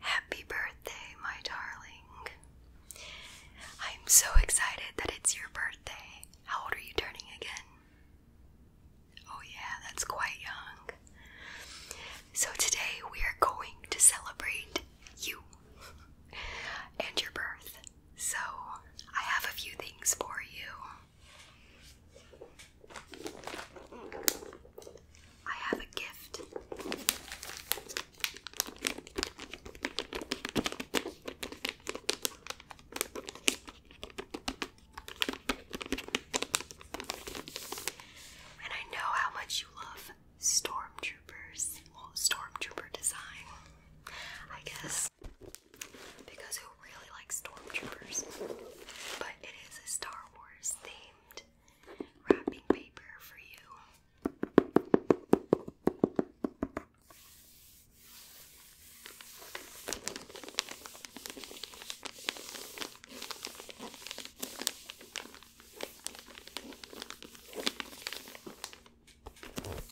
Happy birthday, my darling. I'm so excited that it's your birthday. How old are you turning again? Oh, yeah, that's quite young. So, today we are going to celebrate you and your birth. So, I have a few things for you. I have a gift. And I know how much you love stormtroopers, stormtrooper design, I guess because who really likes stormtroopers? But it is a Star Wars themed wrapping paper for you.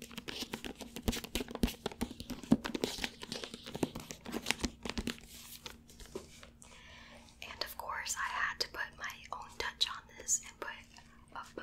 And of course, I had to put my own touch on this and put a bow.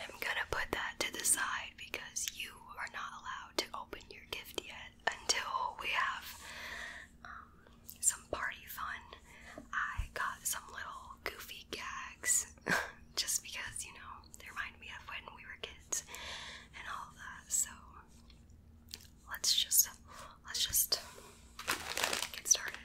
I'm gonna put that to the side because you are not allowed to open your gift yet until we have um, some party fun. I got some little goofy gags just because, you know, they remind me of when we were kids and all that. So let's just let's just get started.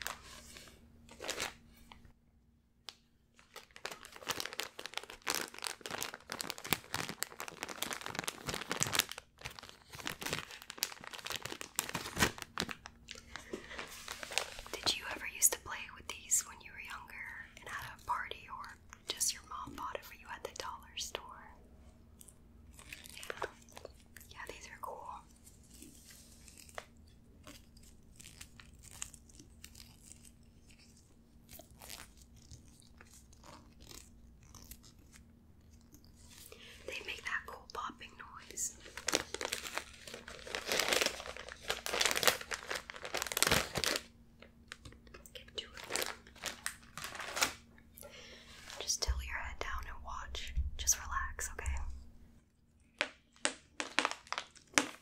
Did you ever used to play with these when you were younger and at a party, or just your mom bought it for you at the dollar store? Yeah, yeah these are cool. They make that cool popping noise. Just tilt your head down and watch. Just relax, okay?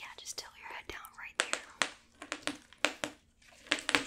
Yeah, just tilt your head down right there. Okay,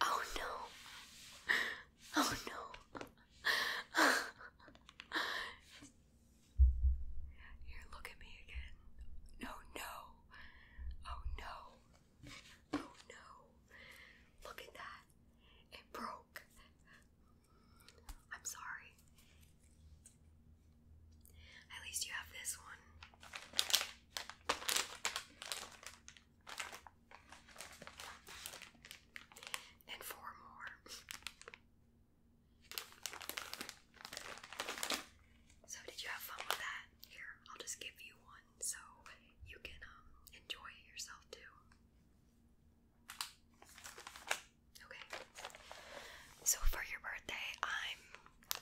Oh no. Oh no. Here, look at me again. No, no. Oh no. Oh no. Look at that. It broke. I'm sorry. At least you have this one. And four more. So did you have fun with that? Here, I'll just give you one so you can um, enjoy yourself too. Okay. So for your birthday, I'm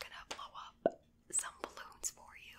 gonna blow up some balloons for you.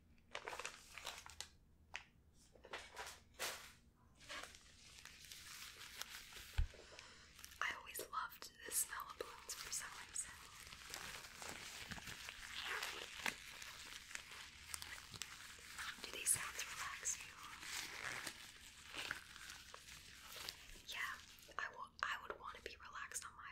I always loved the smell of balloons for some reason. Do these sounds relax you? Yeah, I will I would want to be relaxed on my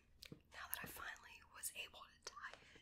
now that I finally was able to tie it.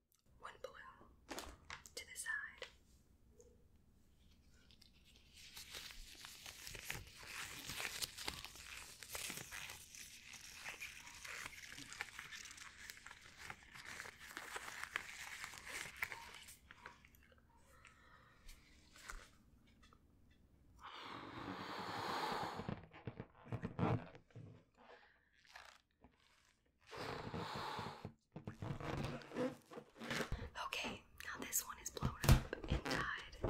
one balloon to the side. Okay, now this one is blown up and died.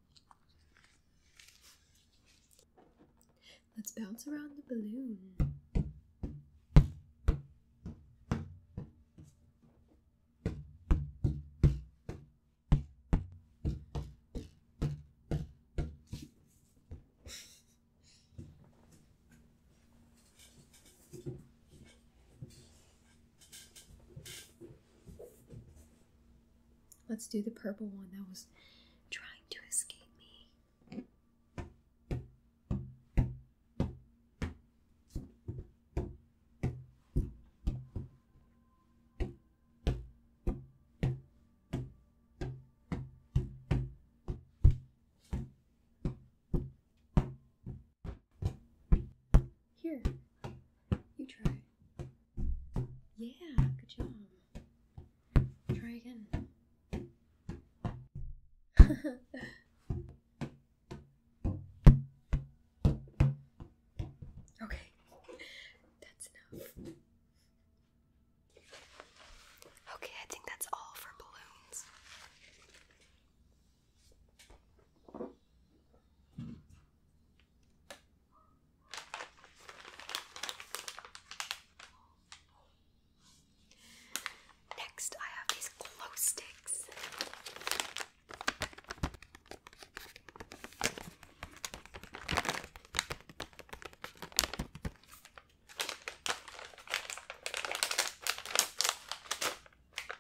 Let's bounce around the balloon. Let's do the purple one that was trying to escape me. Here, you try. Yeah, good job. Try again. okay, that's enough. Okay, I think that's all for balloons. Next, I have these glow sticks.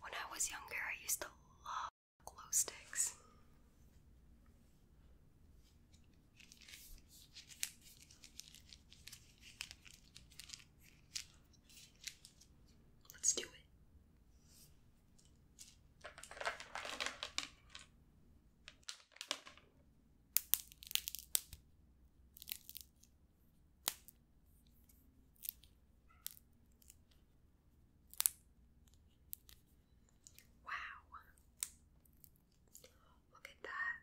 When I was younger, I used to love glow sticks. Let's do it. Wow. Look at that.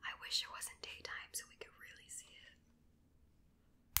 I wish it wasn't daytime so we could really see it.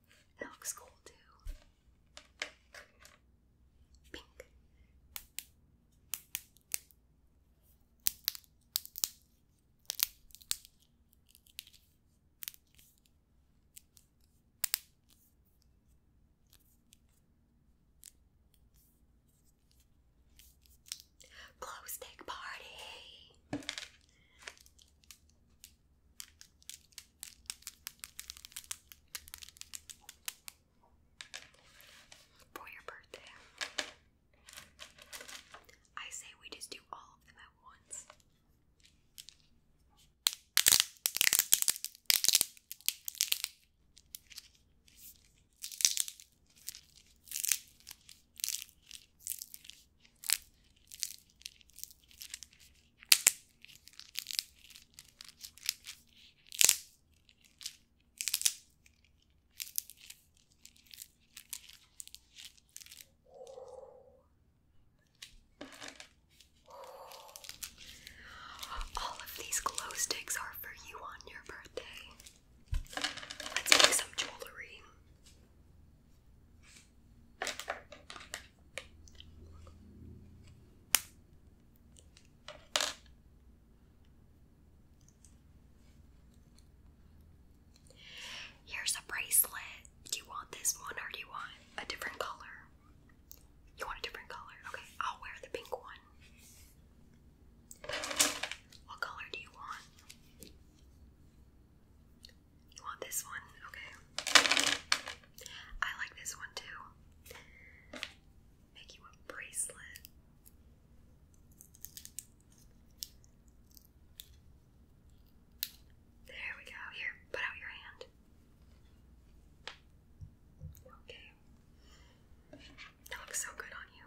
It looks cool too. Pink. Glow stick party for your birthday. I say we just do all of them at once. All of these glow sticks are for you on your birthday. Let's make some jewelry. Here's a bracelet. Do you want this one or do you want a different color? You want a different color? Okay, I'll wear the pink one. What color do you want? You want this one? Okay. I like this one too. Make you a bracelet. There we go. Here, put out your hand. Okay. That looks so good on you.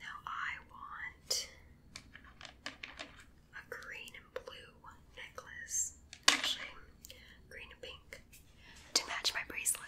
Now I want a green and blue necklace. Actually, green and pink to match my bracelet.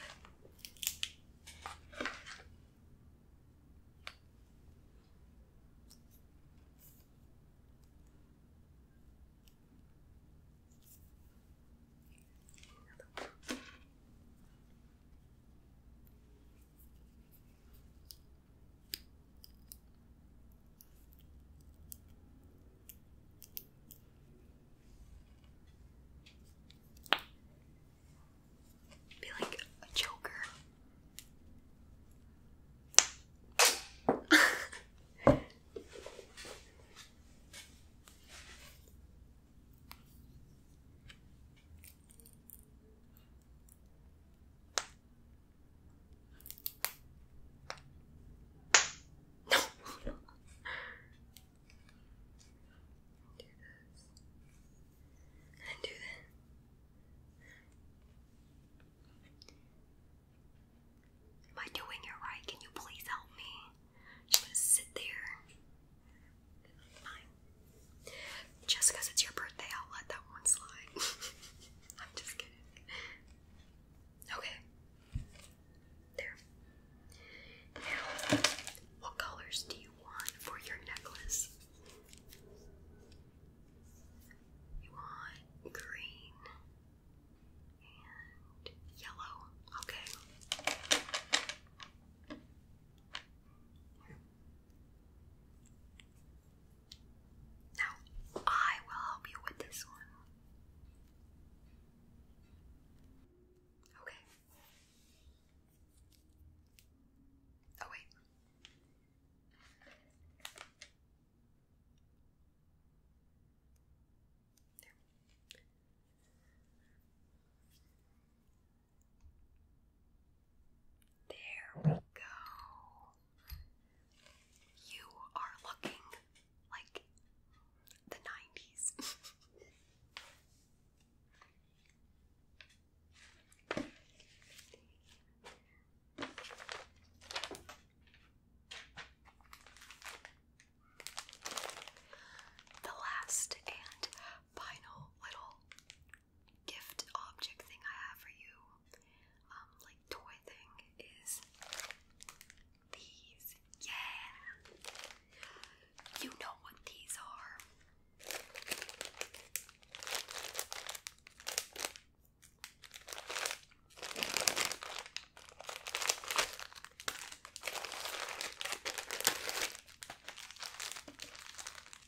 Be like a joker. No. do this. And do that. Am I doing it right? Can you please help me? Just sit there just because it's your birthday, I'll let that one slide. I'm just kidding. Okay. There. Now, what colors do you want for your necklace? You want green and yellow. Okay. Now, I will help you with this one. Okay. Oh, wait. There. There we go. You are looking like the 90s. The last and final little gift object thing I have for you, um, like toy thing, is these. Yeah! You know what these are.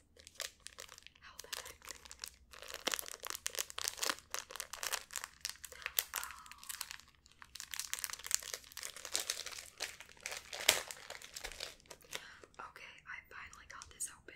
Okay, I finally got this open.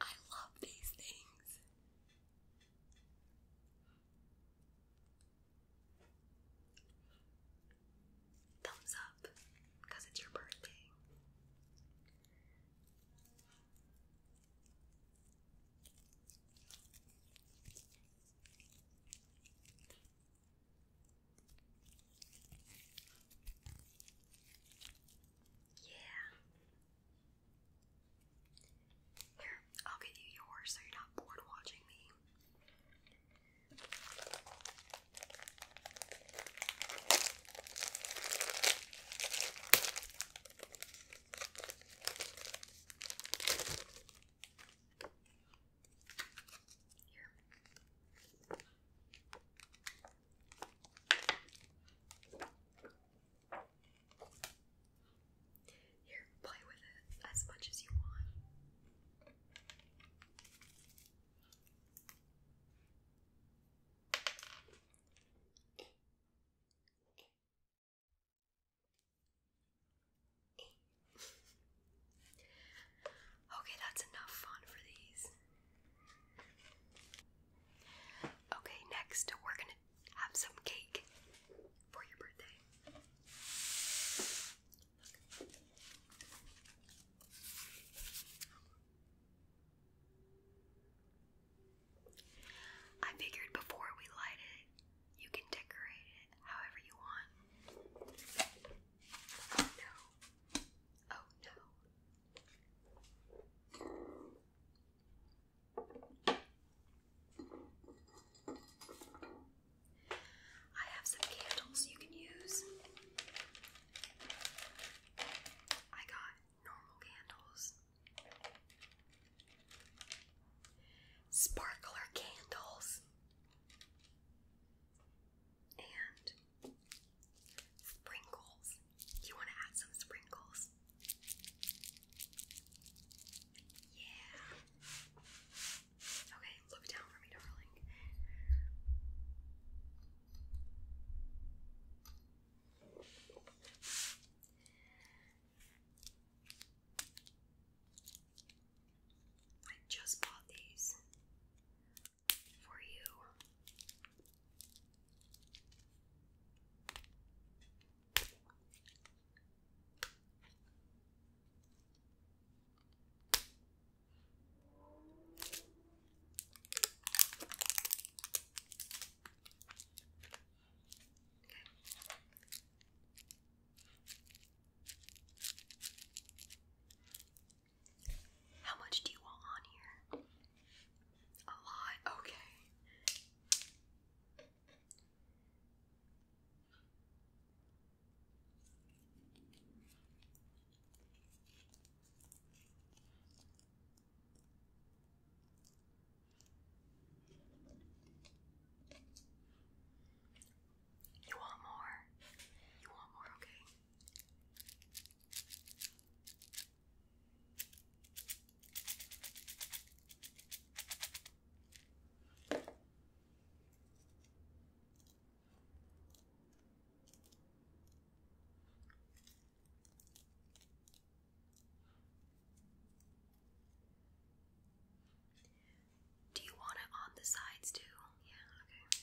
I love these things. Thumbs up, because it's your birthday. Yeah. Here, I'll get you yours so you're not bored watching me. Here. Here, play with it as much as you want. okay, that's enough fun for these. Okay, next we're gonna have some cake for your birthday. I figured before we light it, you can decorate it however you want. No. Oh no. I have some candles you can use. I got normal candles, sparkler candles, and Sprinkles. You want to add some sprinkles? Yeah. Okay, look down for me, darling. I just bought these for you. Okay. How much do you want on here? A lot? Okay. You want more? You want more, okay? Do you want it on the sides too? Yeah, okay.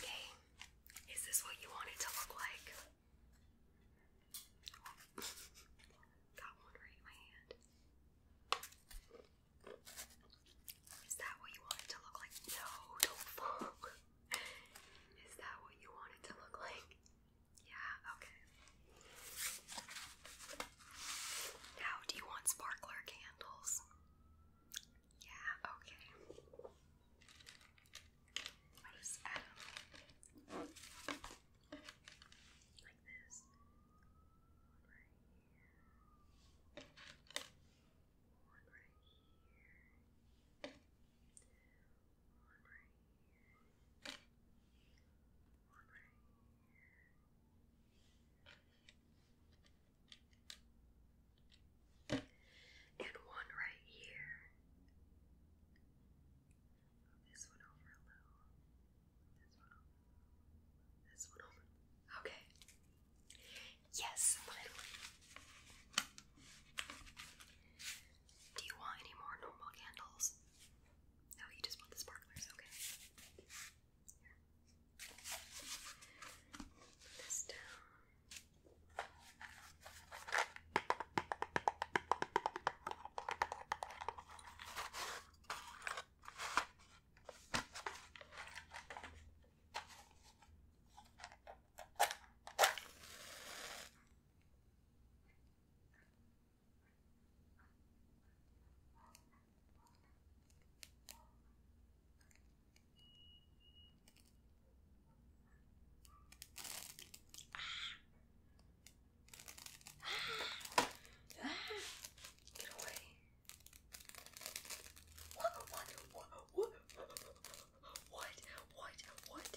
Okay, is this what you want it to look like? Got one right in my hand. Is that what you want it to look like? No, don't fall. Is that what you want it to look like? Yeah, okay. Now, do you want sparkler candles? Yeah, okay. i just add like this. One right here. One right here. One right here. One right here. And one right here. This one over a This one over. Okay. Yes, finally. Do you want any more normal candles? No, you just want the sparklers, okay. Here. Put this down. Ah. Ah. Get away. What? What? What? What? What? What? What?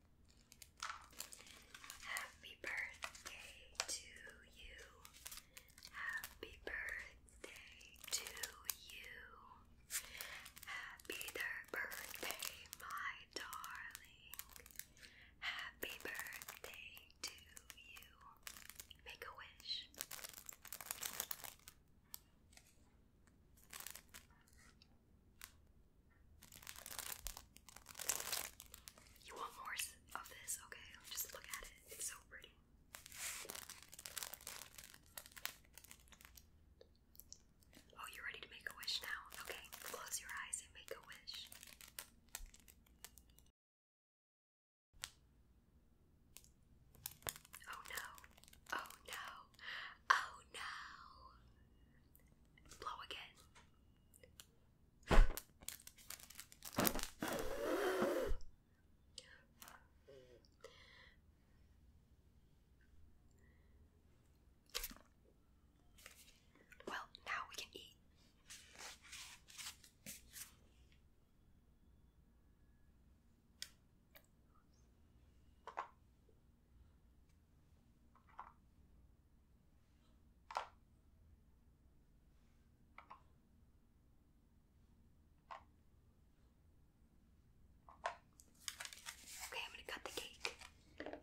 Happy birthday to you. Happy birthday to you. Happy birthday, my darling. Happy birthday to you. Make a wish. You want more of this? Okay, just look at it. It's so pretty. Oh, you're ready to make a wish now? Okay, close your eyes and make a wish. Oh no. Oh no. Oh no. Blow again. Well, now we can eat. Okay, I'm going to cut the cake. cut it.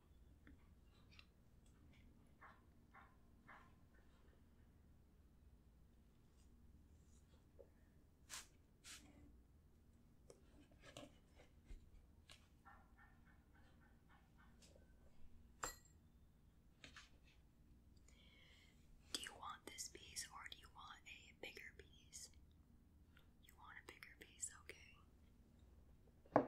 Do you want this piece or do you want a bigger piece? You want a bigger piece, okay.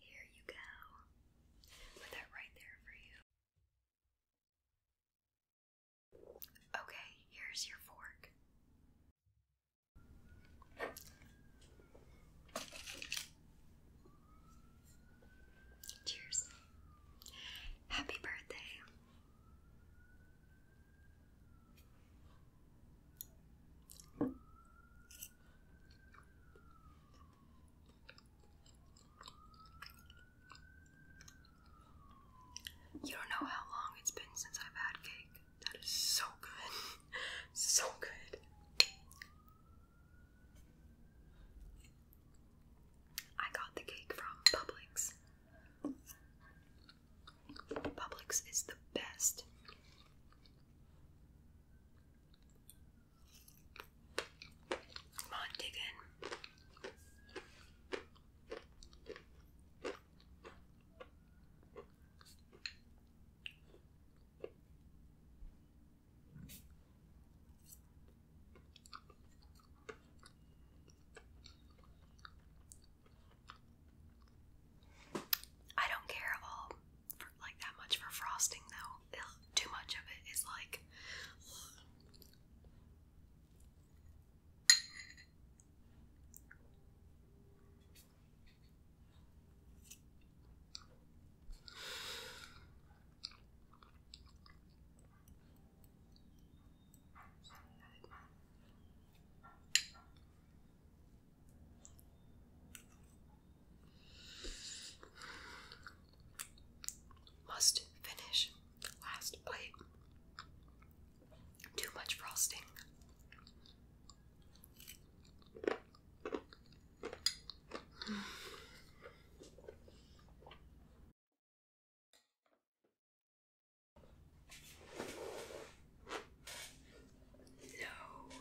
Here you go. Put that right there for you. Okay, here's your fork. Cheers. Happy birthday. You don't know how long it's been since I've had cake. That is so good. so good. I got the cake from Publix. Publix is the best. Come on, dig in. I don't care at all like that much for frosting though. too much of it is like must finish last plate. Too much frosting. No.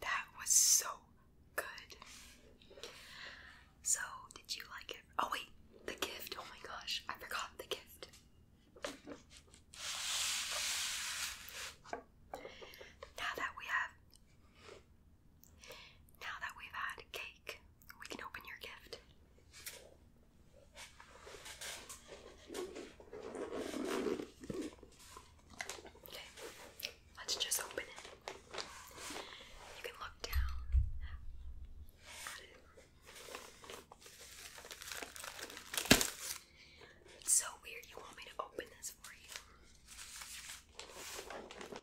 That was so good. So, did you like it? Oh, wait, the gift. Oh my gosh, I forgot the gift. Now that we have now that we've had cake, we can open your gift. Okay, let's just open it. You can look down It's so weird. You want me to open this for you?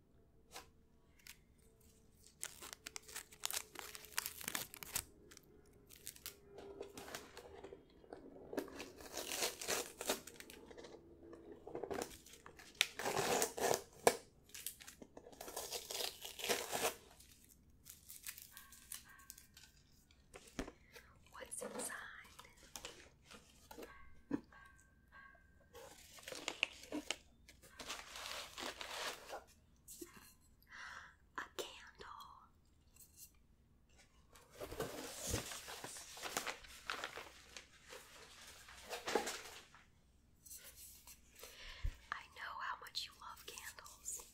What's inside? A candle. I know how much you love candles.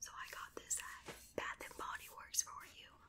So I got this at Bath and Body Works for you.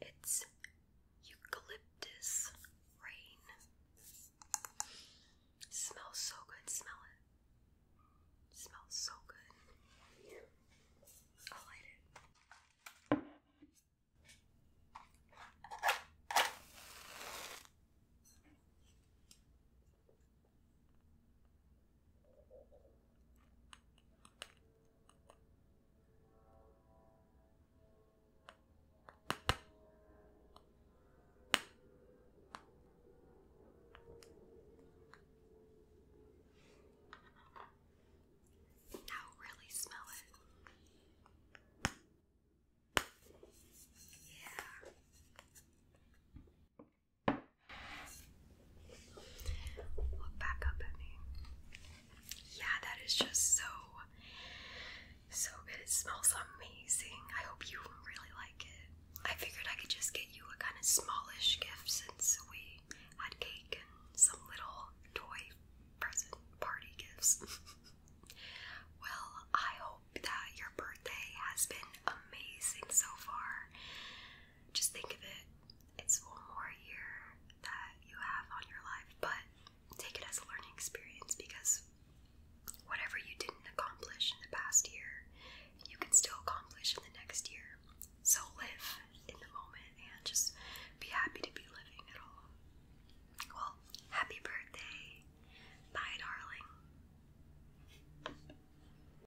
It's eucalyptus rain. smells so good. Smell it smells so good. I'll light it. Now really smell it. Yeah. Look back up at me. Yeah, that is just so, so good. It smells amazing. I hope you really like it. I figured I could just get you a kind of smallish gift since we had cake and some little toy present party gifts. well, I hope that your birthday has been amazing so far just think of it. It's one more year that you have on your life, but take it as a learning experience because whatever you didn't accomplish in the past year, you can still accomplish in the next year. So live in the moment and just be happy to be living at all. Well, happy birthday. Bye, darling.